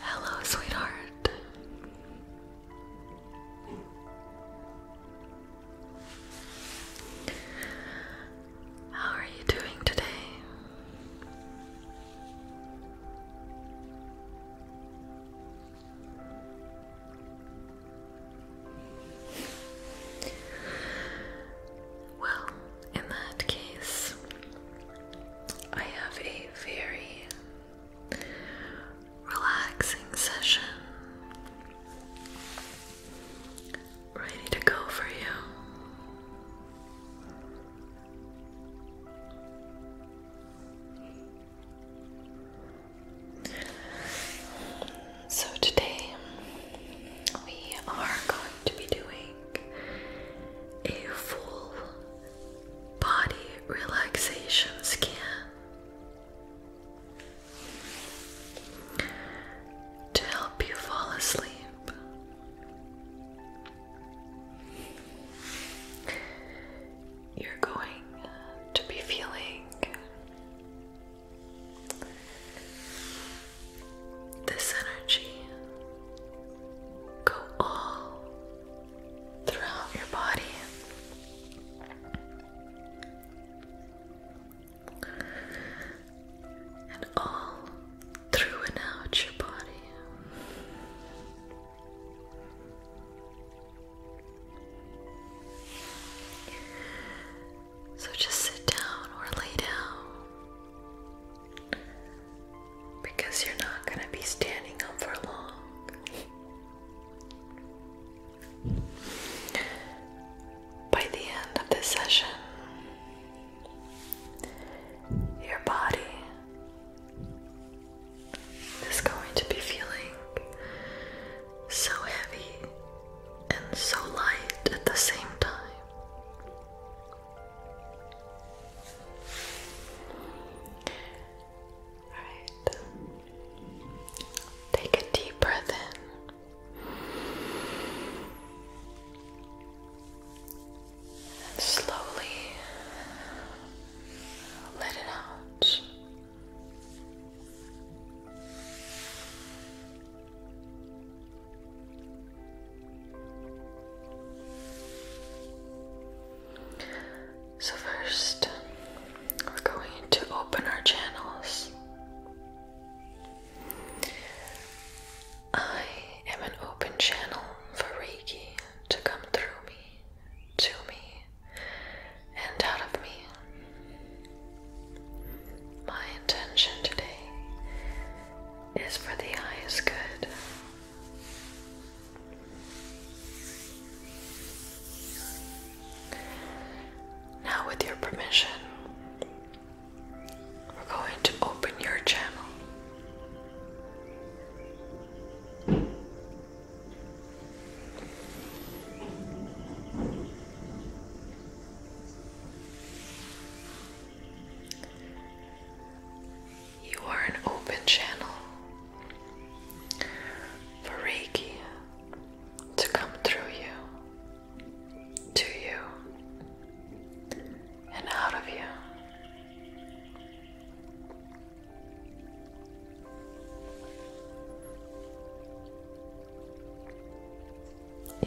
Hello, sweetheart. How are you doing today? Well, in that case, I have a very relaxing session ready to go for you. So, today we are going to be doing a full body relaxation scan. To help you fall asleep, you're going to be feeling this energy go all throughout your body. And all through and out your body. So just sit down or lay down because you're not going to be standing up for long. By the end of this session, your body is going to be feeling so heavy and so light at the same time. Take a deep breath in. And slowly let it out. So, first, we're going to open our channels. I am an open channel for Reiki to come through me, to me, and out of me. My intention today is for the highest good now, with your permission, we're going to open your channel. You are an open channel for Reiki to come through you, to you, and out of you.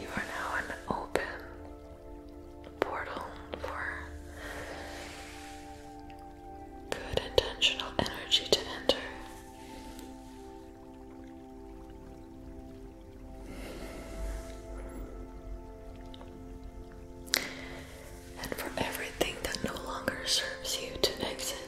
You are now an open portal for good intentional energy to enter. And for everything that no longer serves you to exit.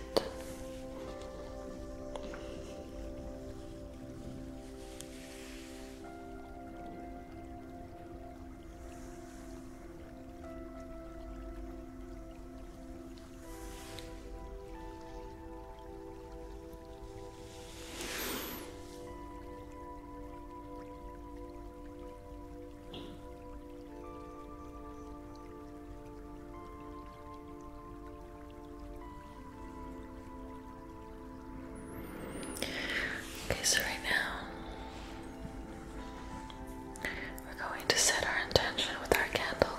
Okay, so right now we're going to set our intention with our candle.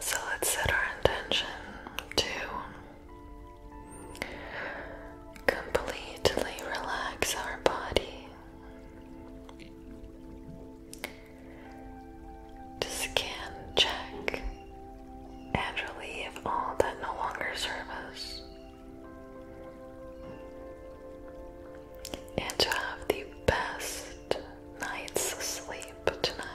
So let's set our intention to completely relax our body, scan, check, and relieve all that no longer serves and to have the best night's sleep tonight.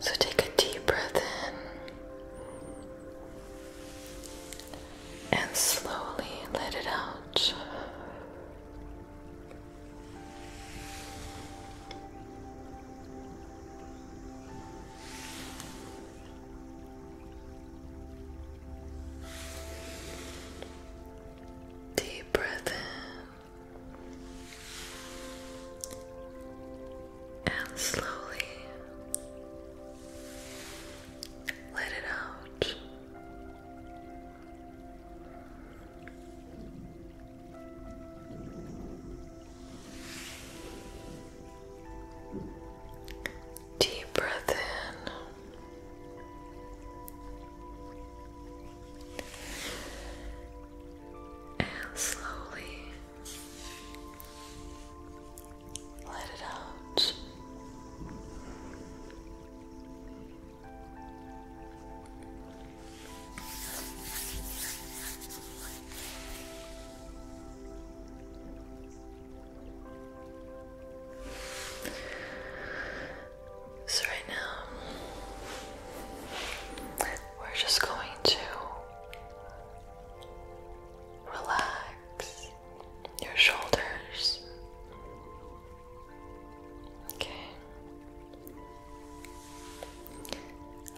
So take a deep breath in and slowly let it out. Deep breath in and slowly let it out. Deep breath in and slowly let it out. So, right now, we're just going to relax your shoulders. Okay.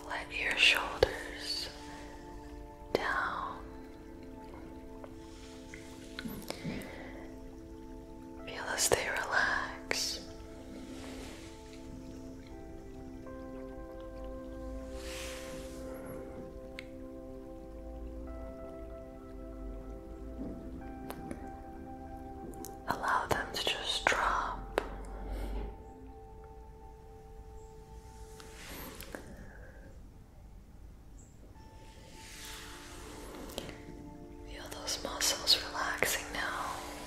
Let your shoulders down. Feel as they relax. Allow them to just drop. Feel those muscles relaxing now.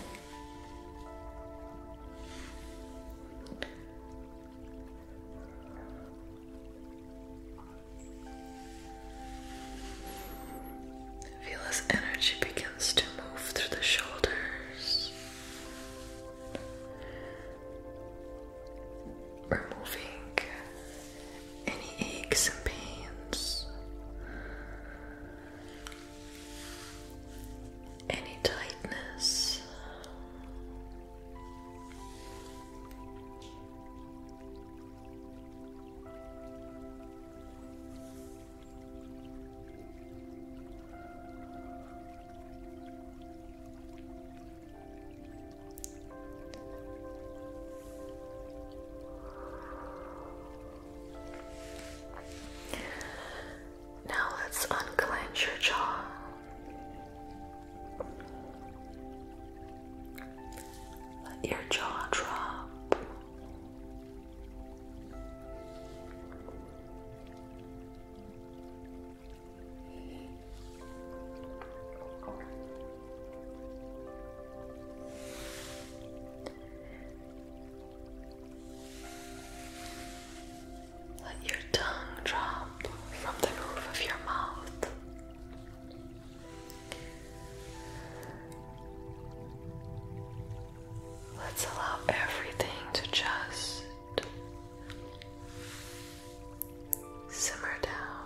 Feel as energy begins to move through the shoulders, removing any aches and pains any tightness. Now let's unclench your jaw. Let your jaw drop. Let your tongue drop from the roof of your mouth. Let's allow everything to just simmer down.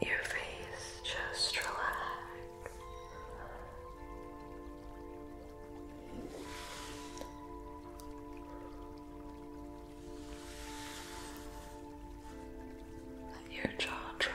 Let your face just relax. Let your jaw drop.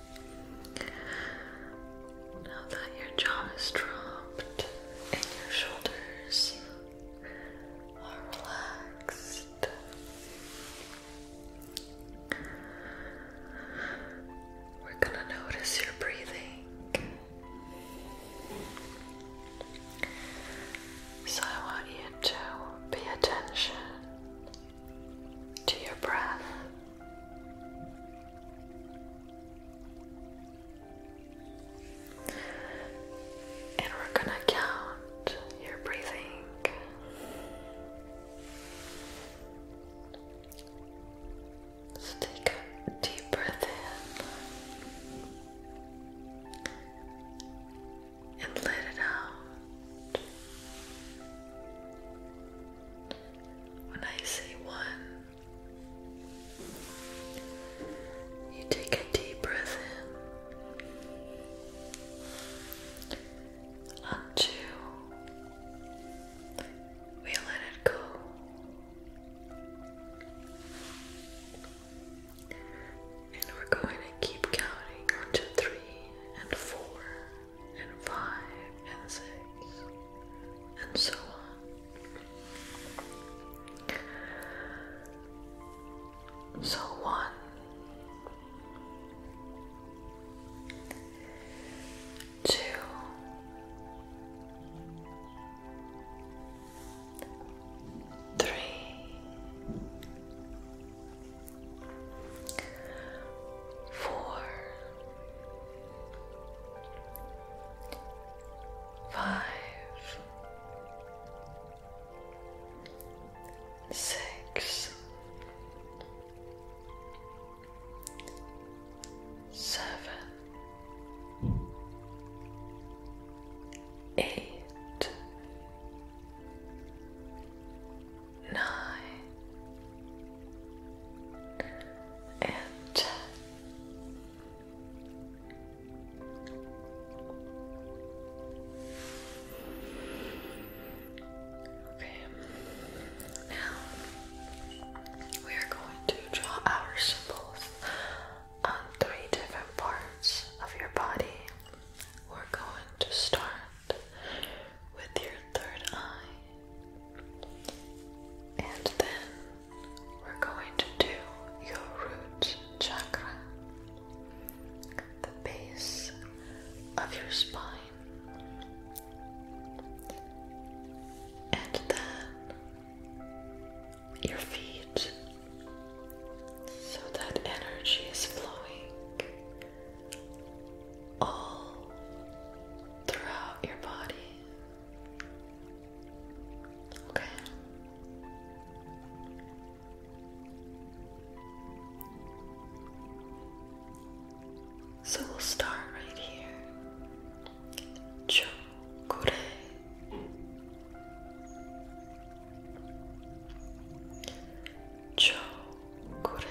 Now that your jaw is dropped and your shoulders are relaxed. We're going to notice your breathing. So, I want you to pay attention to your breath. And we're gonna count your breathing. So take a deep breath in and let it out. When I say one, you take a deep breath in. On two, we let it go. And we're going to keep counting on to three and four and five and six and so on. So one two three four Five, six, seven, eight, nine and okay now we are going to draw our symbols on three different parts of your body we're going to start with your third eye and then we're going to do your root chakra, the base of your spine. And then your feet, so that energy is flowing all throughout your body. Okay. So we'll start right here. Chokure. Chokure.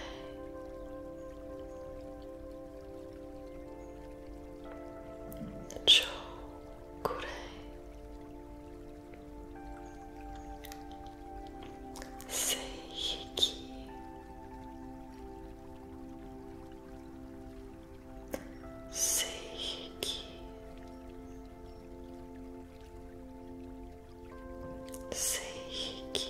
Seiki Seiki Seiki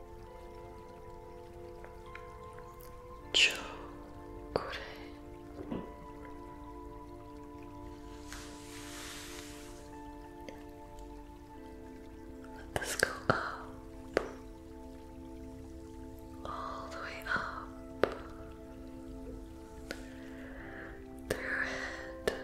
Chocolate. Let this go up, all the way up, through it,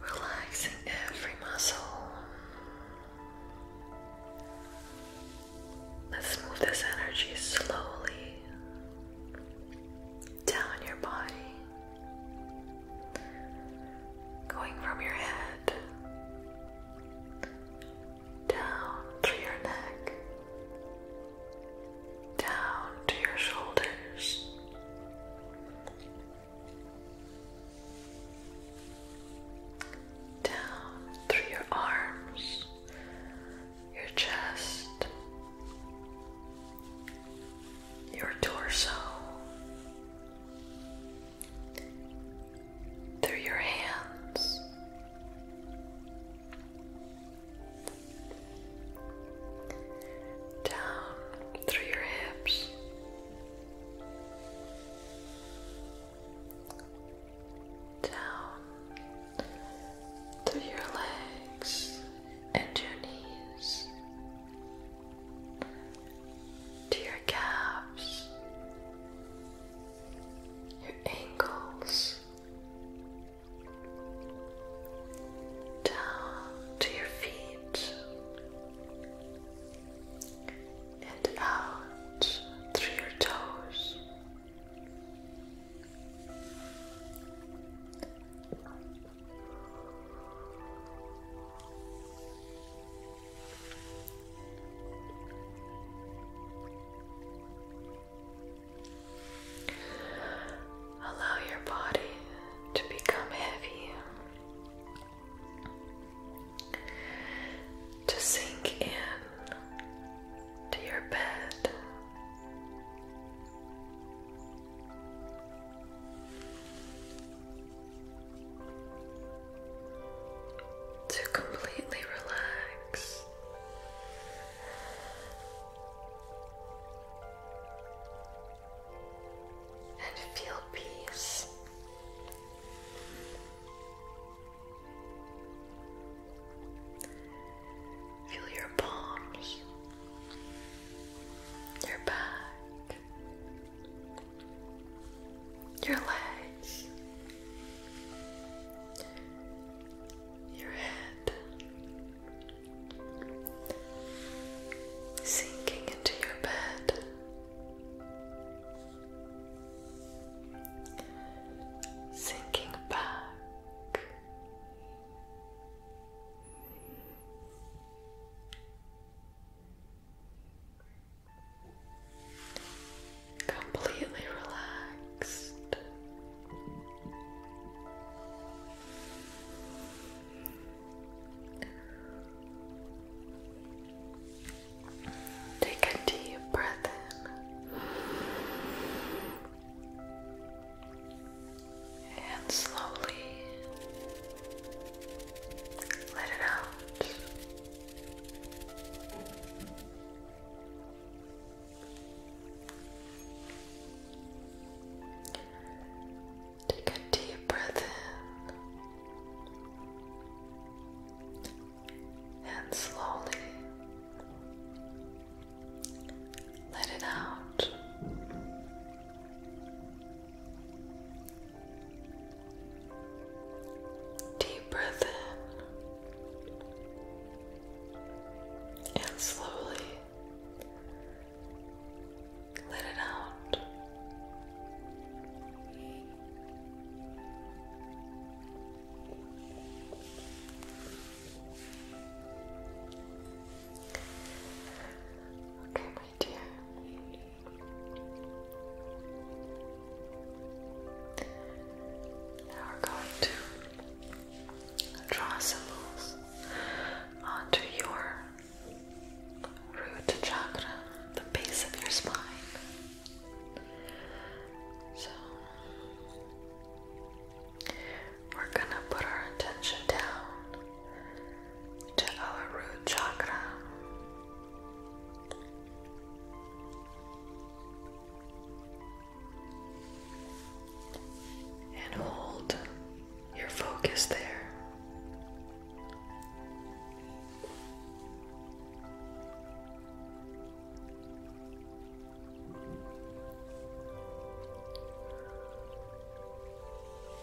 Relaxing every muscle. Let's move this energy slowly down your body going from your head down through your neck, down to your shoulders. Down through your arms, your chest, your torso, through your hands, down through your hips. Down through your legs and your knees, to your calves, your ankles, down to your feet, and out through your toes. Allow your body to become heavy, to sink in to your bed to completely relax. And feel peace. Feel your palms, your back, your legs, your head sinking into your bed. Sinking back, completely relaxed. Take a deep breath in and slowly let it out. Take a deep breath in and slowly let it out. Deep breath in and slowly let it out. Okay, now we're going to draw symbols onto your root chakra, the base of your spine. So we're gonna put our attention down to our root chakra. And hold your focus there.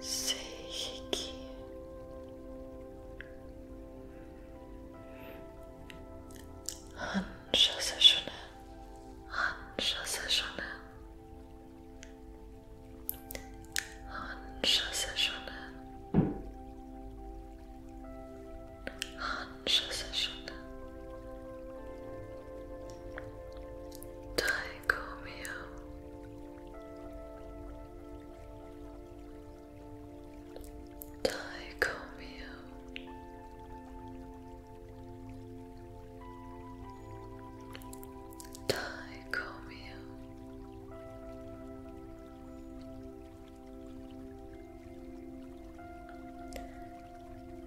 Seiki. Hansha Sashone. Hansha Sashone. Hansha Sashone. Hansha Sashone. Dicomio Dicomio Dicomio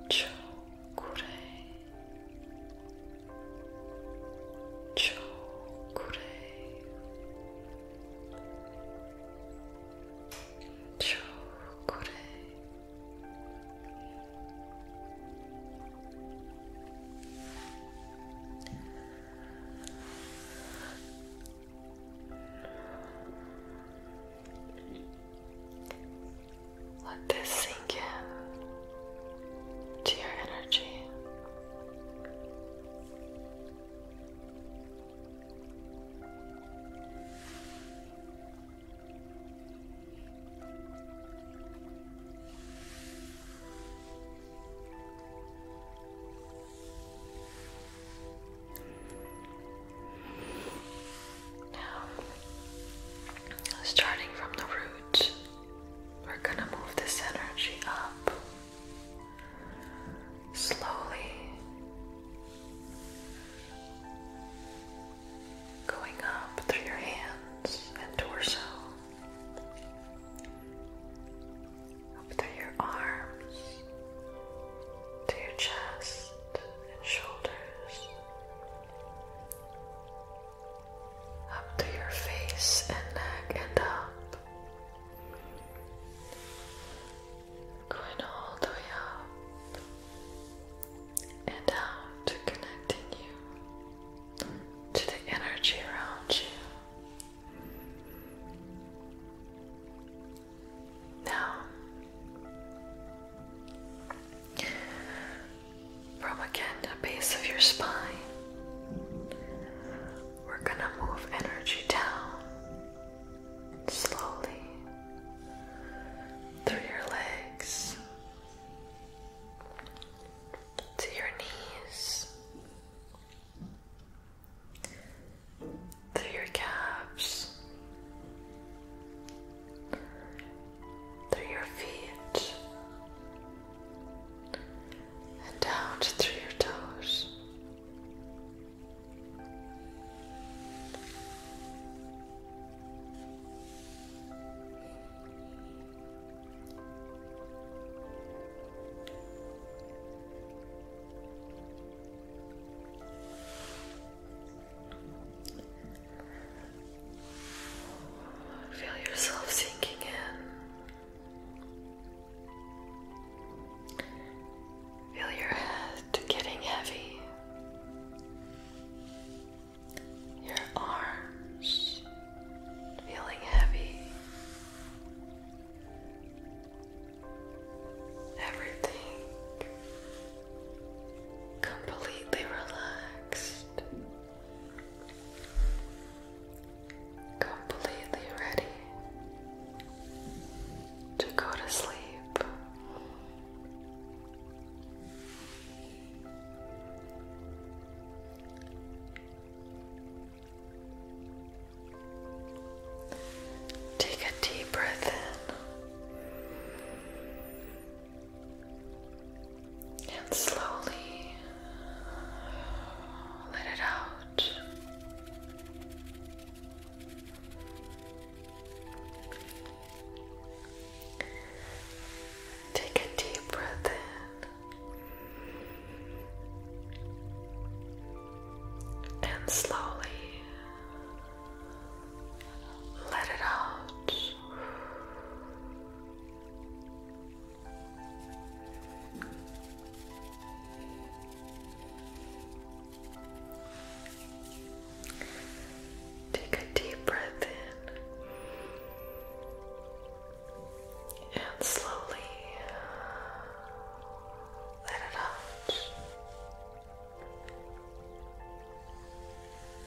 Chokurei Chokure, Chokure, let this sink in to your energy. Now, starting from the root, we're gonna move this energy up slowly, going up through your hands and torso, up through your arms, to your chest and shoulders up to your face and neck and up, going all the way up and out, connecting you to the energy around you. Now, from again the base of your spine. We're going to move energy down slowly through your legs to your knees, through your calves, through your feet and down through your toes. Feel yourself sinking in. Feel your head getting heavy. Your arms feeling heavy. Everything completely relaxed completely ready to go to sleep. Take a deep breath in and slowly let it out. Take a deep breath in and slowly let it out. Take a deep breath in and slowly let it out.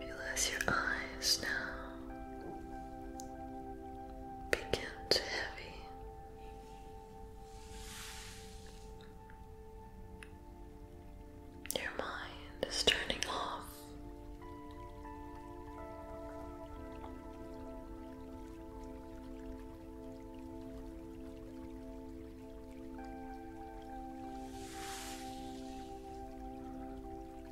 Relax your eyes now. Begin to heavy. Your mind is turning off.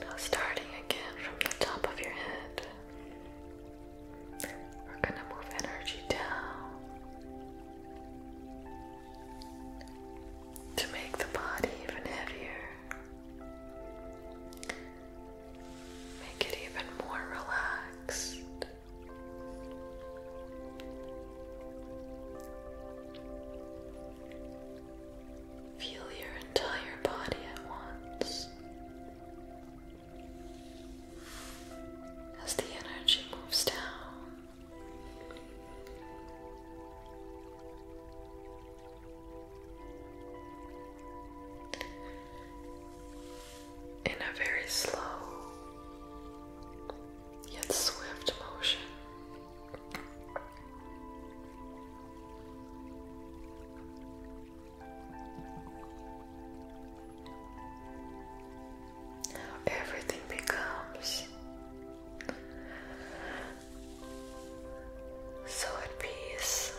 Now, starting again from the top of your head, we're going to move energy down to make the body even heavier. Make it even more relaxed. Feel your entire body at once as the energy moves down in a very slow yet swift motion. everything becomes so at peace.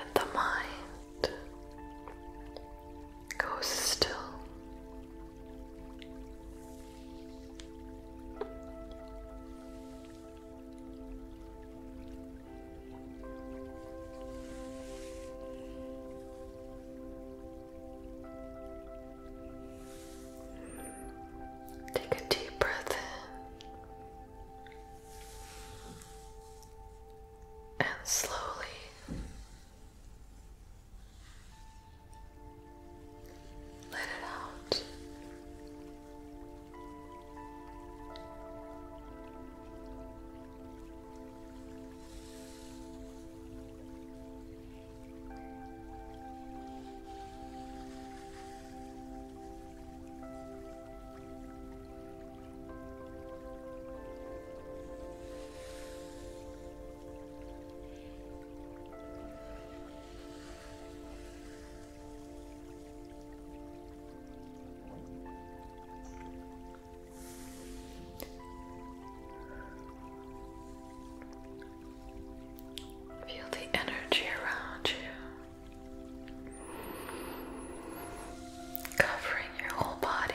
And the mind Go still. Take a deep breath in and slowly let it out. Feel the energy around you, covering your whole body.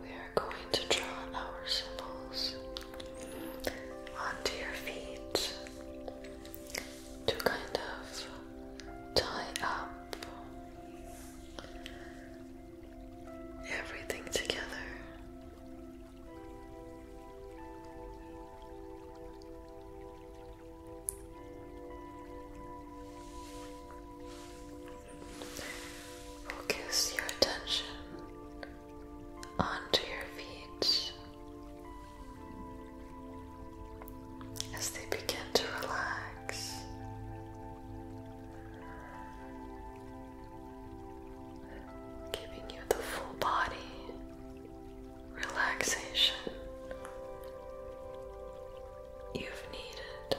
we are going to draw our symbols onto your feet to kind of tie up everything together. Focus your attention onto your feet as they begin to relax. Giving you the full body relaxation you've needed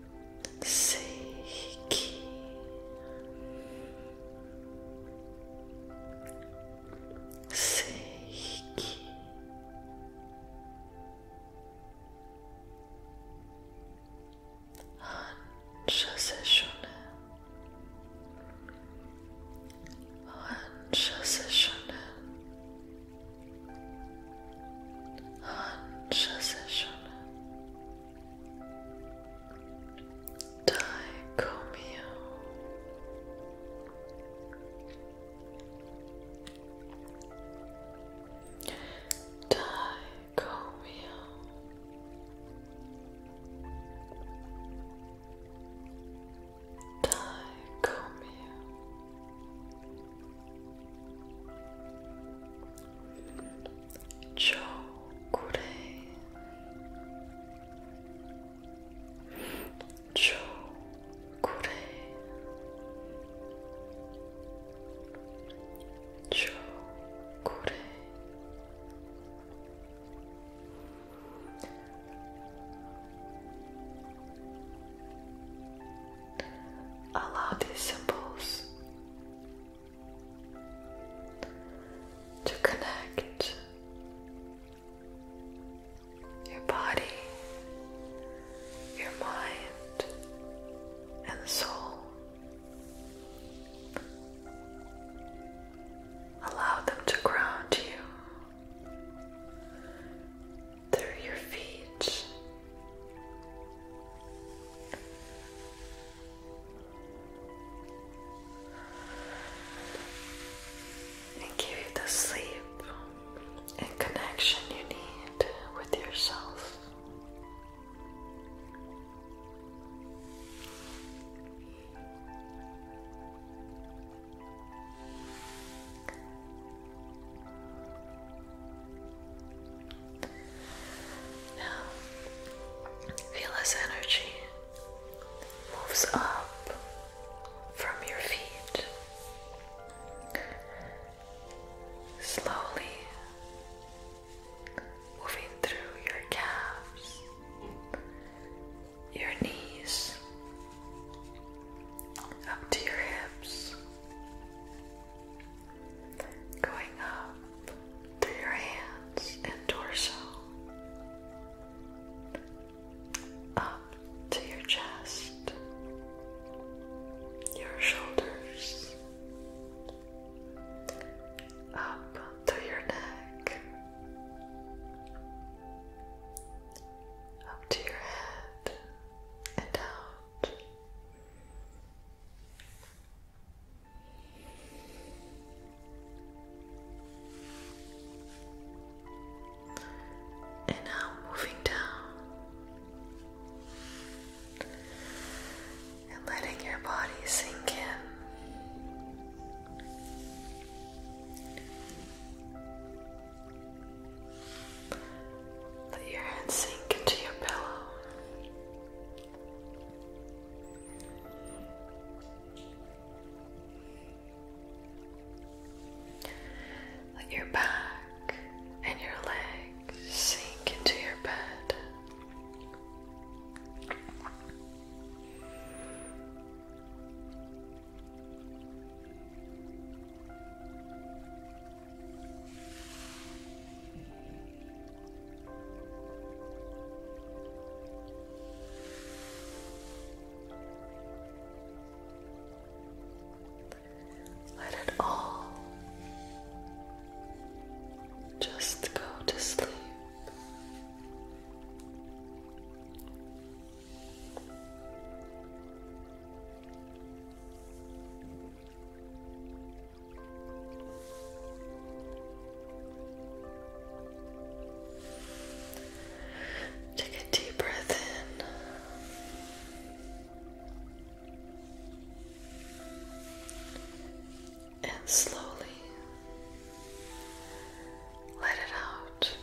Seiki Seiki Ancha sessione Ancha sessione Ancha sessione Dai come here. Dai come here. come here chocolate chocolate chocolate Allow these symbols to connect your body, your mind, and soul. Allow them to ground you through your feet and give you the sleep and connection you need with yourself. Now, feel as energy moves up from your feet, slowly moving through your calves, your knees, up to your hips going up through your hands and torso, up to your chest, your shoulders, up through your neck, up to your head and out. And now moving down and letting your body sink in. Let your head sink into your pillow. Let your back and your legs sink into your bed. Let it all just go to sleep. Take a deep breath in. And slowly let it out.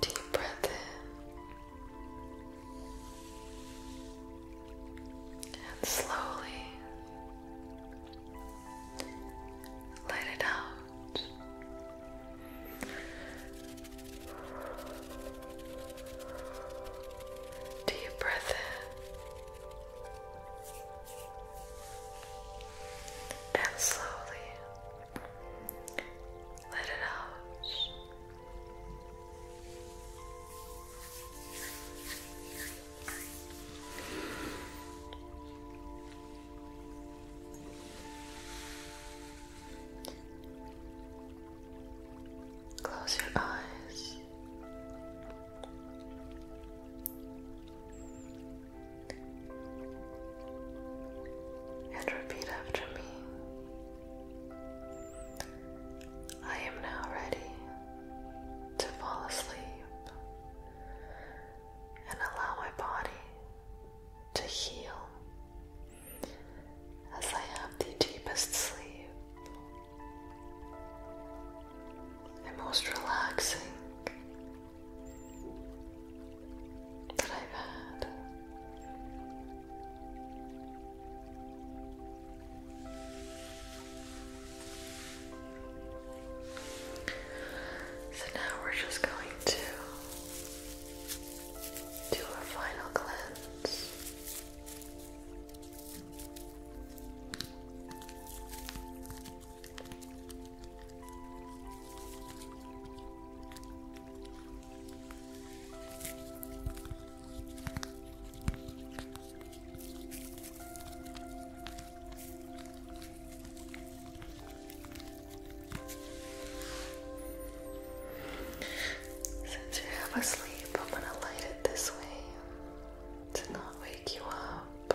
Deep breath in and slowly let it out. Deep breath in and slowly let it out. Close your eyes and repeat after me. I am now ready to fall asleep and allow my body to heal as I have the deepest sleep the most relaxing that I've had. So now we're just going to do a final cleanse. Since you're half asleep, I'm going to light it this way to not wake you up.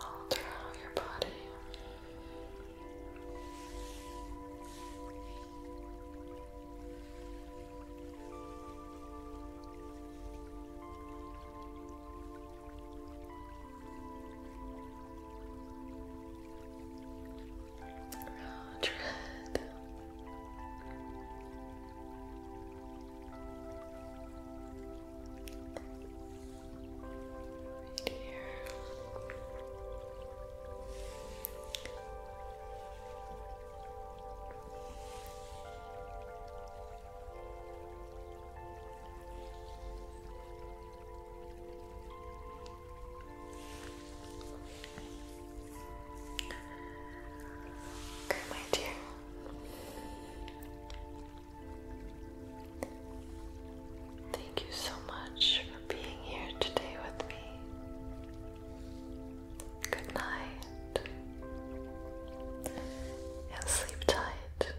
all throughout your body. Mildred. Right here. Right Okay, my dear. Thank you so much for being here today with me. Good night. And sleep tight.